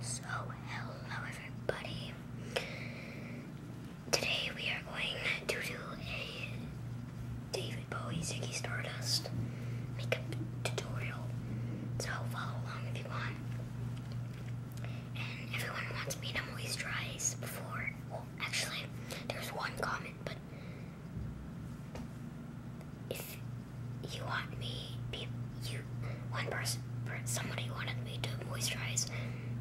So, hello everybody. Today we are going to do a David Bowie Ziggy Stardust makeup tutorial. So, follow along if you want. And everyone wants me to moisturize before. Well, actually, there's one comment, but you want me, people, you, one person, somebody wanted me to moisturize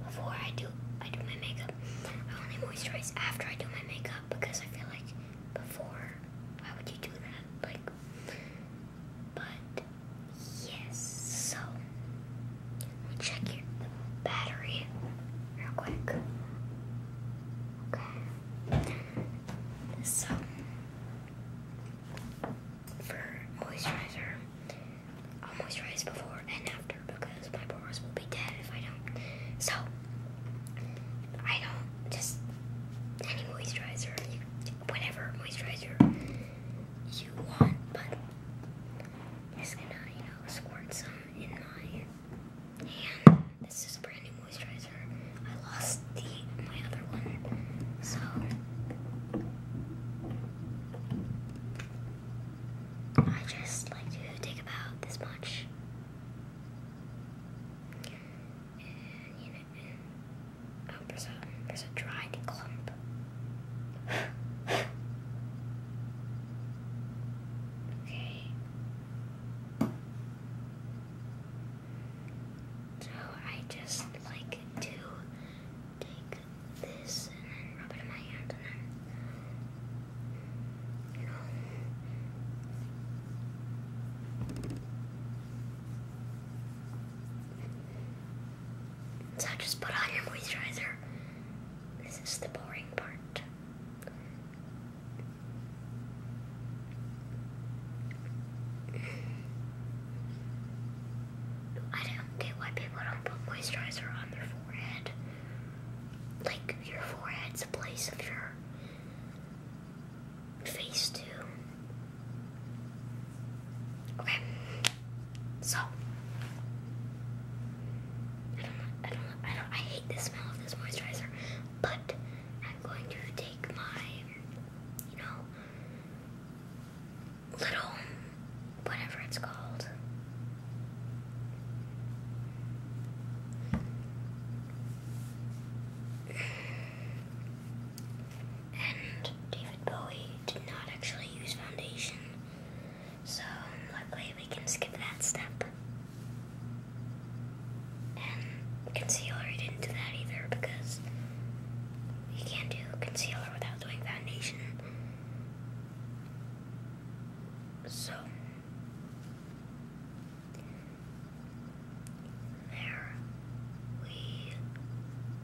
before I do, I do my makeup. I only moisturize after I do my makeup because I feel like before, why would you do that? Like, but yes, so check your battery real quick. Okay, so for moisturizer. i moisturize before and after because my pores will be dead if I don't. So, I don't just any moisturizer, you, whatever moisturizer you want, but i just gonna, you know, squirt some in my hand. This is brand new moisturizer. I lost the my other one, so I just like to take about this much. And you know, oh, there's a there's a dried clump. okay. So I just like to take this and rub it in my hand So just put on your moisturizer. This is the boring part. I don't get why people don't put moisturizer on their forehead. Like, your forehead's a place of your face, too. Okay, so. I don't, I don't, I don't, I hate the smell of this moisturizer, but I'm going to take my you know, little whatever it's called. And David Bowie did not actually use foundation, so luckily we can skip that step. And concealer, I didn't do that either because you can't do concealer without doing foundation. So, there we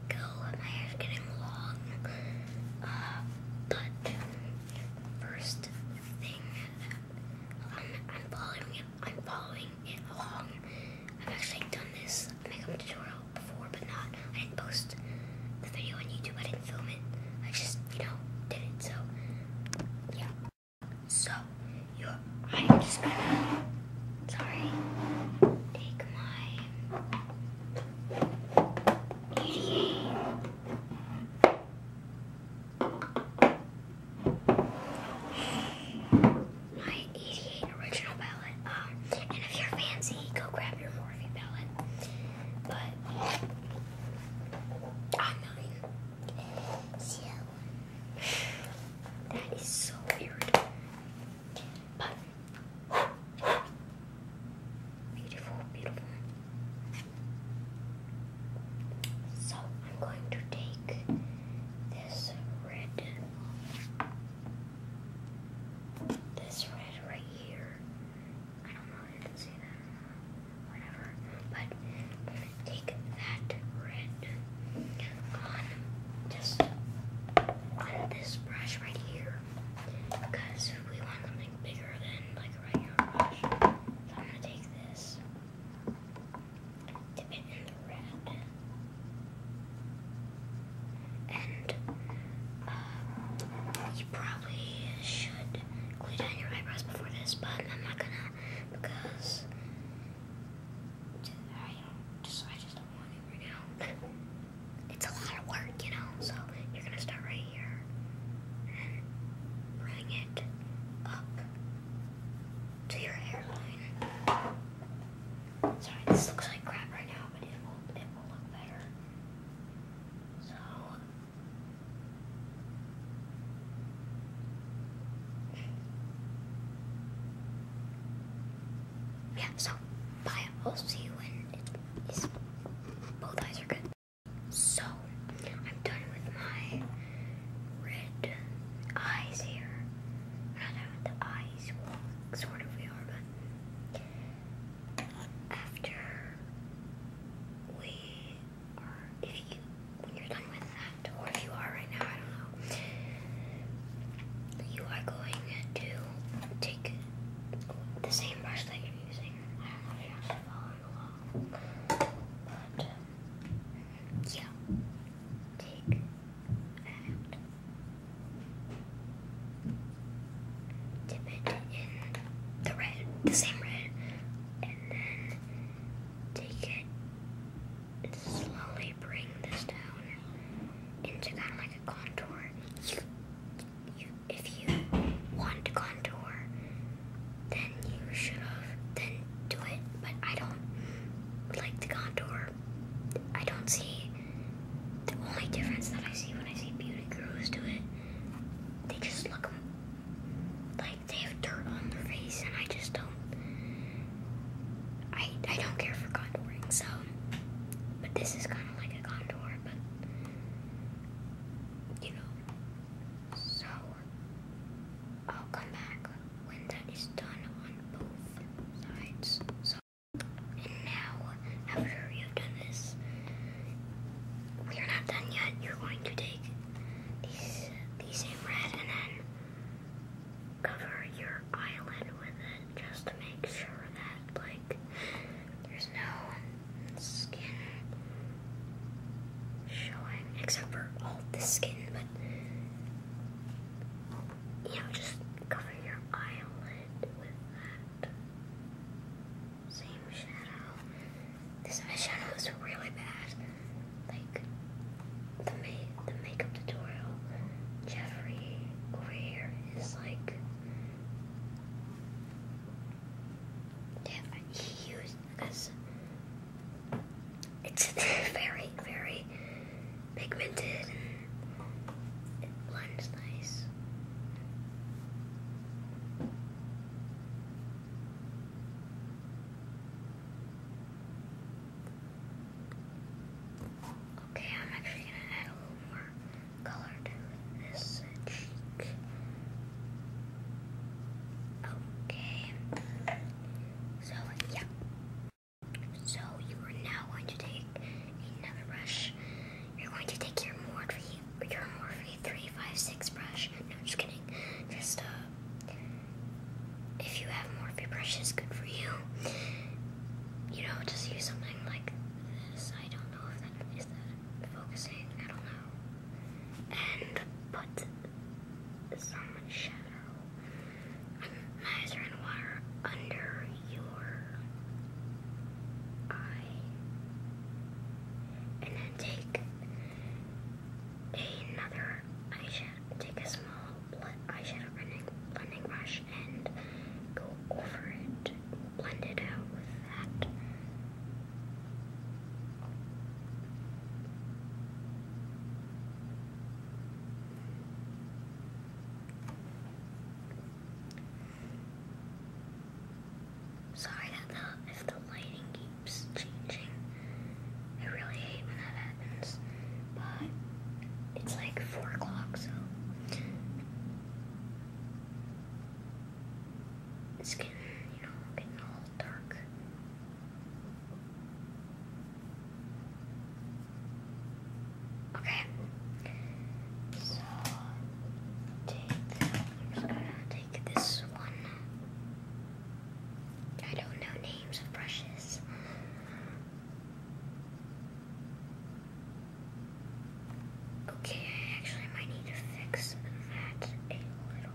go. My hair's getting long. Uh, but, first thing, um, I'm following I'm following in I've actually done this makeup tutorial before, but not. I didn't post the video on YouTube. I didn't film it. I just, you know, did it. So, yeah. So, I'm just gonna. Sorry. Take my. 88 my 88 original palette. Um, and if you're fancy, go grab your Morphe palette. But I'm not. So that is so weird. But beautiful, beautiful. So I'm going to take this red, this red right here. I don't know if you can see that, whatever. But take that red on just this brush right here, because we want something bigger than like a regular So I'm gonna take this dip it in the red. And uh, you probably should clean down your eyebrows before this, but I'm not gonna because I just don't want it right now. It's a lot of work, you know. So you're gonna start right here and bring it up to your hairline. Sorry, this looks like crap right now, but it will, it will look better. So, yeah, so, bye. I'll see you when it's, both eyes are good. So, I'm done with my red eyes here the after we are, if you, when you're done with that, or if you are right now, I don't know, you are going to take the same brush that you're using. I don't know if you're actually following along, but yeah, take and dip it in the red, the same red, and then take it slowly bring this down into kind of like a contour. You, you, if you want to contour, then you should have, then do it, but I don't like the contour. I don't see the only difference that I see when I see beauty gurus do it. They just look like they have dirt on their face, and I just don't. I I don't care for contouring, so. But this is kind of like a contour, but you know. So I'll come back when that is done on both sides. So, and now, after you've done this, we are not done yet. You're going to take these, these same red and then cover your eyelid with it just to make sure that, like, there's no skin showing except for all the skin, you know, just cover your eyelid with that same shadow. This eyeshadow is really bad. Like the the makeup tutorial, Jeffrey here is like. Yeah, he used because it's very, very pigmented it blends nice. Okay, I'm actually gonna add a little more color to this cheek. Okay. So, yeah. So, you are now going to take another brush. You're going to take your Morphe, your Morphe 356 brush. No, just kidding. Just, uh, if you have Morphe brushes, good for you. You know, just use something like this. I don't know if that is that focusing. I don't know. And put some Mice run water under your eye. And then take another eyeshadow. Take a small eyeshadow blending brush and go over it. Blend it out with that. Sorry if the lighting keeps changing. I really hate when that happens. But it's like 4 o'clock, so it's getting, you know, getting all dark. Okay. So take i this one. I don't know names of brushes. Okay, I actually might need to fix that a little.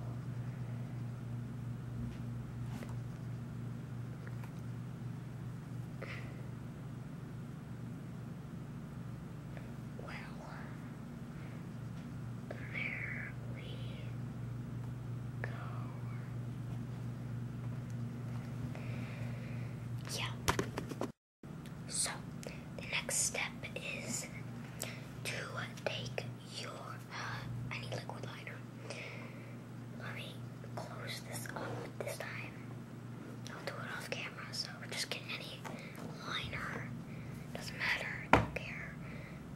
Well, there we go. Yeah. So, the next step is to take your, I need liquid liner. Let me close this up this time. I'll do it off camera, so just get any liner. Doesn't matter, don't care.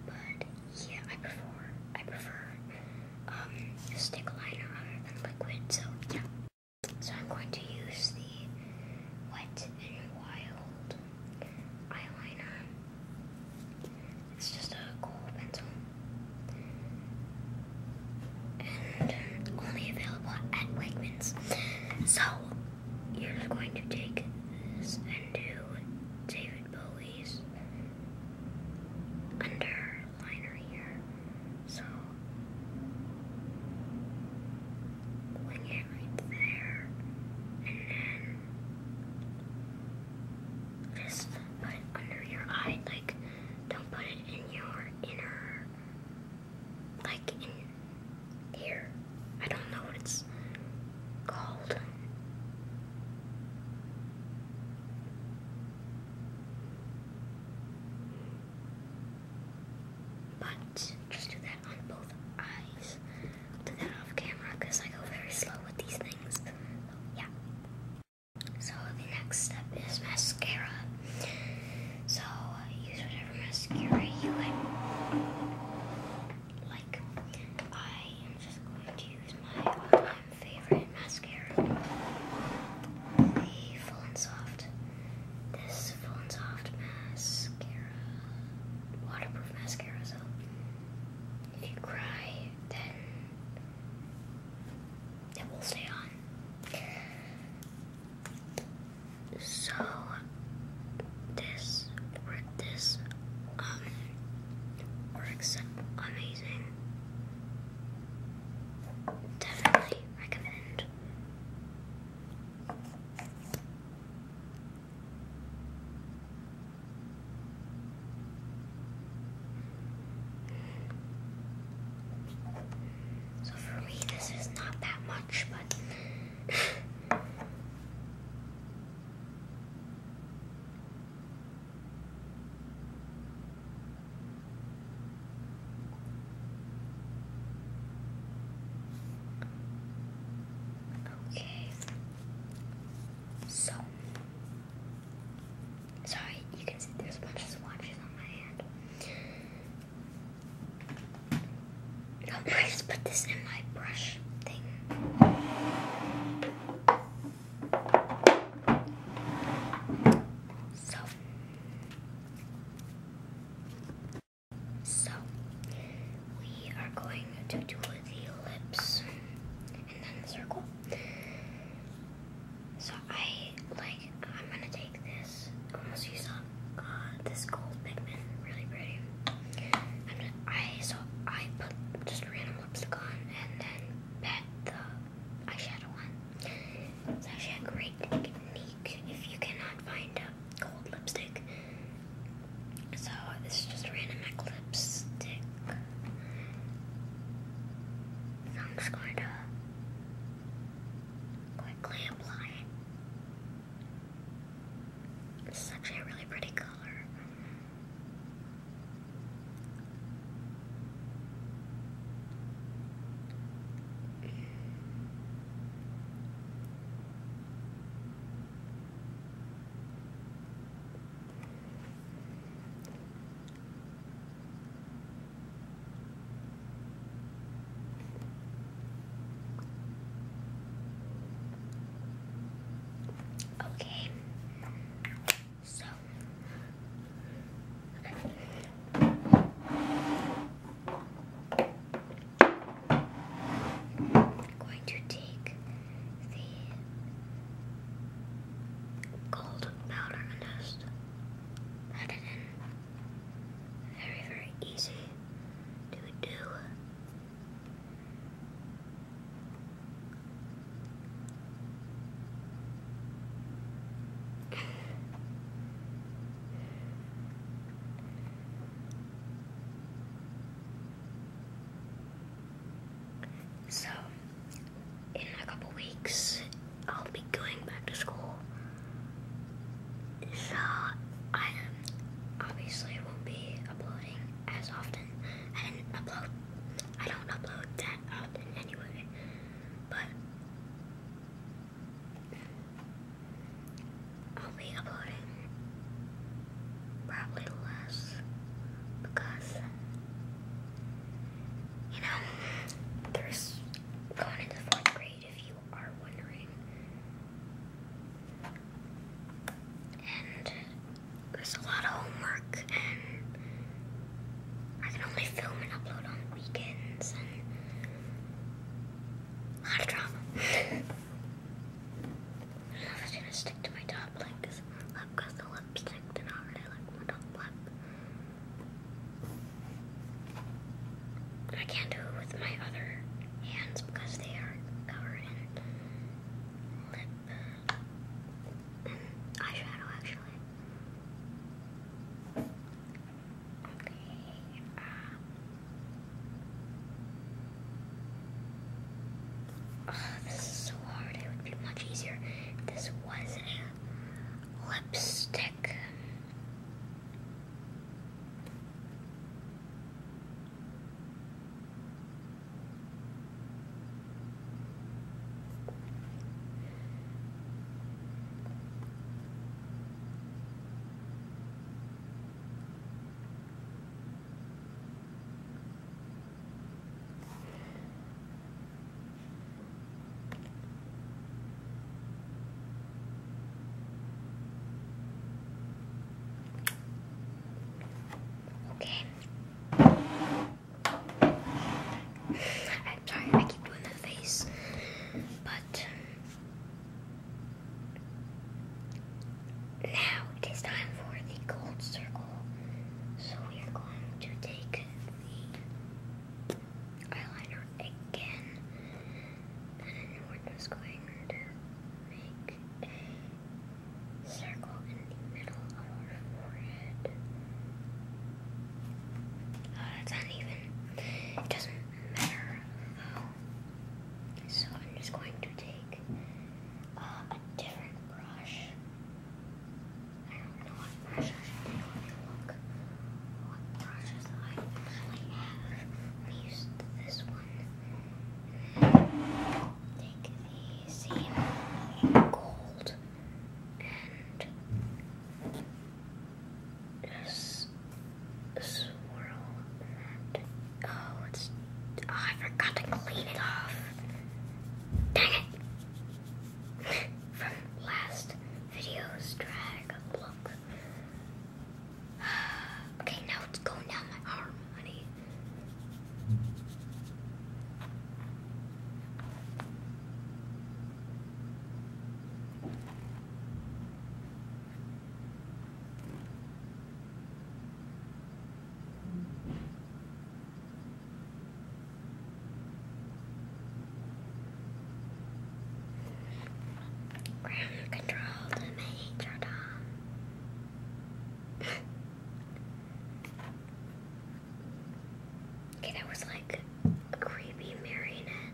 But yeah, I prefer, I prefer, um, stick liner than liquid, so yeah. So I'm going to use the Wet and Wild eyeliner. It's just a cool pencil. And only available at Wegmans. So, you're going to take this and do David Bowie's underliner here. So, bring it right there, and then fist put under your eye. Like, don't put it in your inner, like in here. I don't know what it's called. But just do that on both eyes i do that off camera because I go very slow with these things. Yeah. So the next step is mascara. So use whatever mascara you like. I am just going to use my favorite mascara, the Full and Soft. This Full and Soft mascara, waterproof mascara. So if you cry, then it will stay on. So this this um works amazing. Definitely recommend. So for me, this is not that much, but. Okay. So Sorry, you can see there's a bunch of swatches on my hand. I'm just put this in my brush thing. So, so we are going to do the lips and then circle. So I like I'm gonna take this almost used up uh, this gold pigment, really pretty. i so I put just random lipstick on and then pet the eyeshadow on. It's actually a great technique if you cannot find a gold lipstick. So this is just random eclipse So I'm just going to quickly apply it. This is actually a really pretty color. Okay, so I'm going to take the gold powder and just it in. Very, very easy to do. So, in a couple weeks, I'll be going back to school. So, I obviously won't be uploading as often. I didn't upload, I don't upload that often anyway. But, I'll be uploading Probably less. Because, you know, there's going into fourth grade if you are wondering. And there's a lot of homework, and I can only film and upload on weekends, and a lot of drama. I'm just gonna stick to my top lip because I've got the lipstick did not really like my top lip. I can't do it with my other hands because they are covered in lip uh, eyeshadow actually. Okay, uh, this is so hard. It would be much easier this was a lipstick. Okay. I'm sorry I keep doing the face, but um, now it is time for the gold circle. So we are going to take the eyeliner again. And we're just going to make a circle in the middle of our forehead. Oh, uh, that's uneven. It doesn't matter So I'm just going to take uh, a different brush. I don't know what brush I look. What brushes I have. I used this one. Take the same gold and just swirl that. Oh, it's. Oh, I forgot to clean it off. Dang it! From last video's drag look. okay, now it's going down my arm, honey. Ground control to Major Tom. okay, that was like a creepy marionette.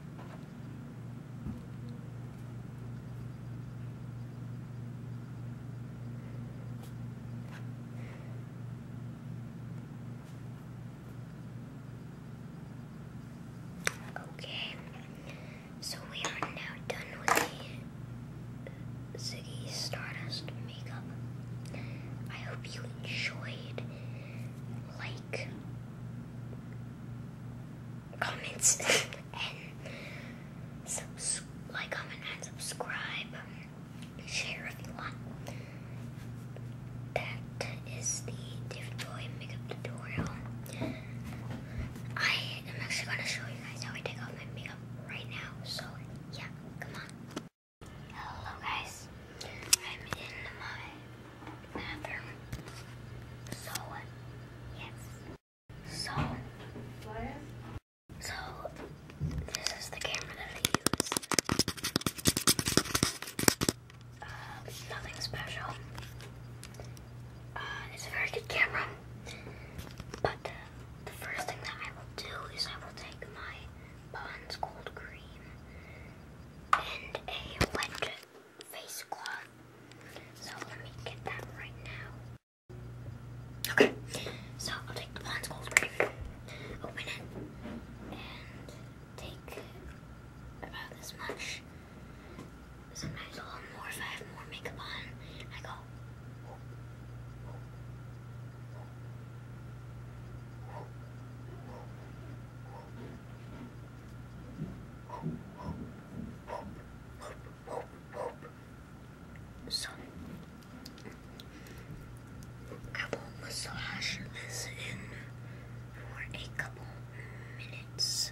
Okay, so we are now done with the Ziggy Stardust makeup. I hope you enjoyed. Like, comments. and like, comment, and subscribe. Share if you want. That is the David makeup tutorial. I am actually going to show you guys how I take off my makeup right now. So, yeah, come on. Hello, guys. I'm in my bathroom. So, uh, yes. So, so this is the camera that I use. Uh, nothing special. Uh, it's a very good camera. But uh, the first thing that I will do is I will take my Bond's Cold Cream and a wet face cloth. So let me get that right now. Okay, so I'll take the Blonde Skull Spray, open it, and take about this much. Sometimes a little more if I have more makeup on. I go. So, I'm some couple massages in for a couple minutes.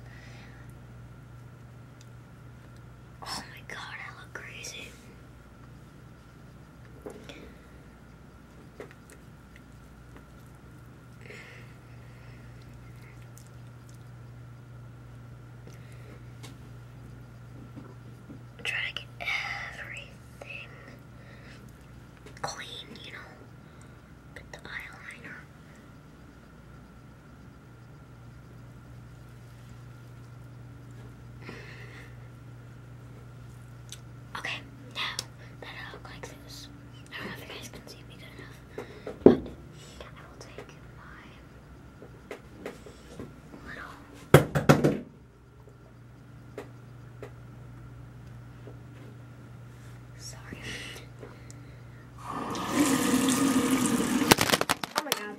Oh my god, I look crazy i to get everything clean, you know. Put the eyeliner. Okay, now that I look like this, I don't know if you guys can see me good enough, but I will take my sorry. Oh my god.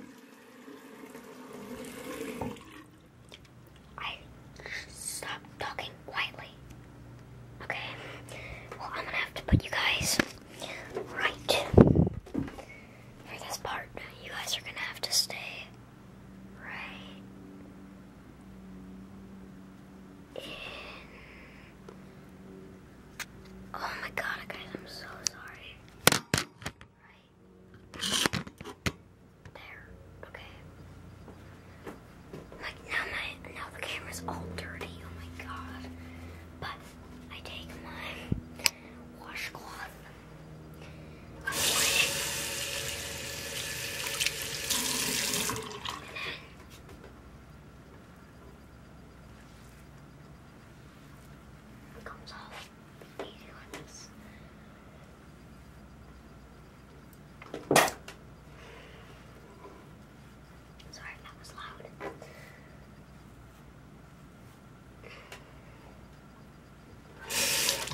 I stopped talking quietly. Okay. Well I'm gonna have to put you guys right for this part, you guys are gonna have to stay right Oh my god, guys, I'm so sorry. Right. There. Okay. Like now my now the camera's all dirty. Oh my god. But I take my washcloth. And then it comes off easy like this. Sorry that was loud. This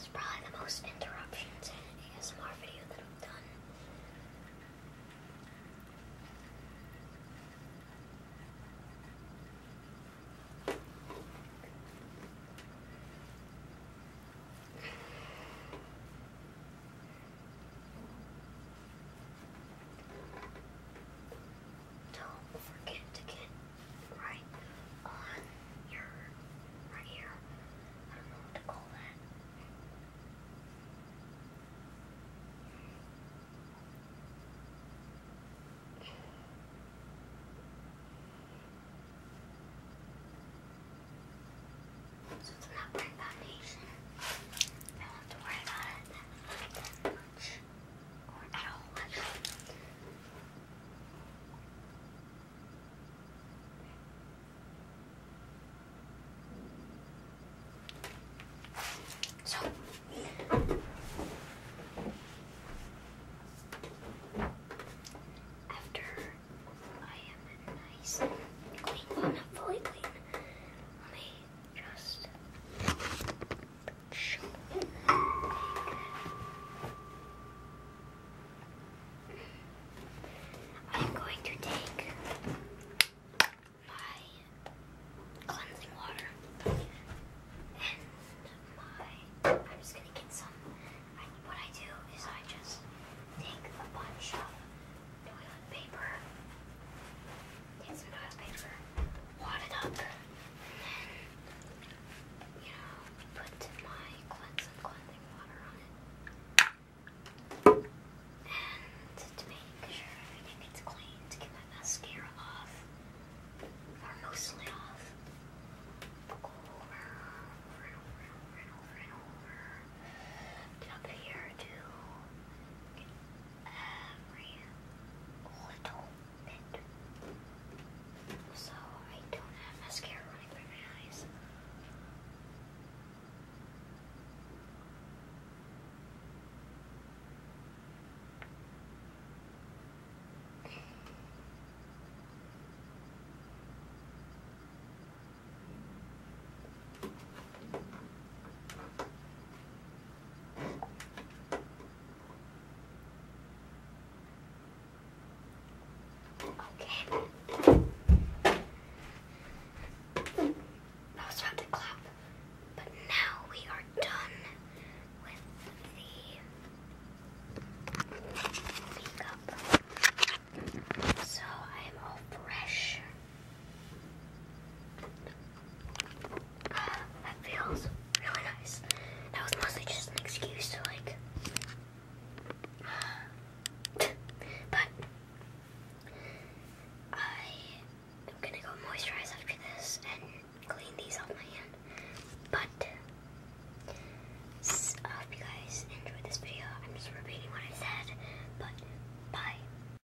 is probably the most interruptions in an ASMR video that I've done. Don't forget to get right on your right here. I don't know what to call that. So it's not foundation. I have to worry about church or So after I am nice clean, not fully clean, let just show I'm going to take my cleansing water and my. I'm just gonna get some. what I do is I just take a bunch of paper, use some oil paper, wad it up, then, you know, put my cleanse and cleansing water on it. And to make sure everything gets clean, to get my mascara off, or mostly off, over, and over and over and over and over. Get here to every little bit. So I don't have mascara running by my eyes. Okay. That was fun to clap, but now we are done with the makeup. So I am all fresh that feels really nice. That was mostly just an excuse to like. but I am gonna go moisturize after this and clean these off my hand. But I hope you guys enjoyed this video. I'm just repeating what I said, but bye.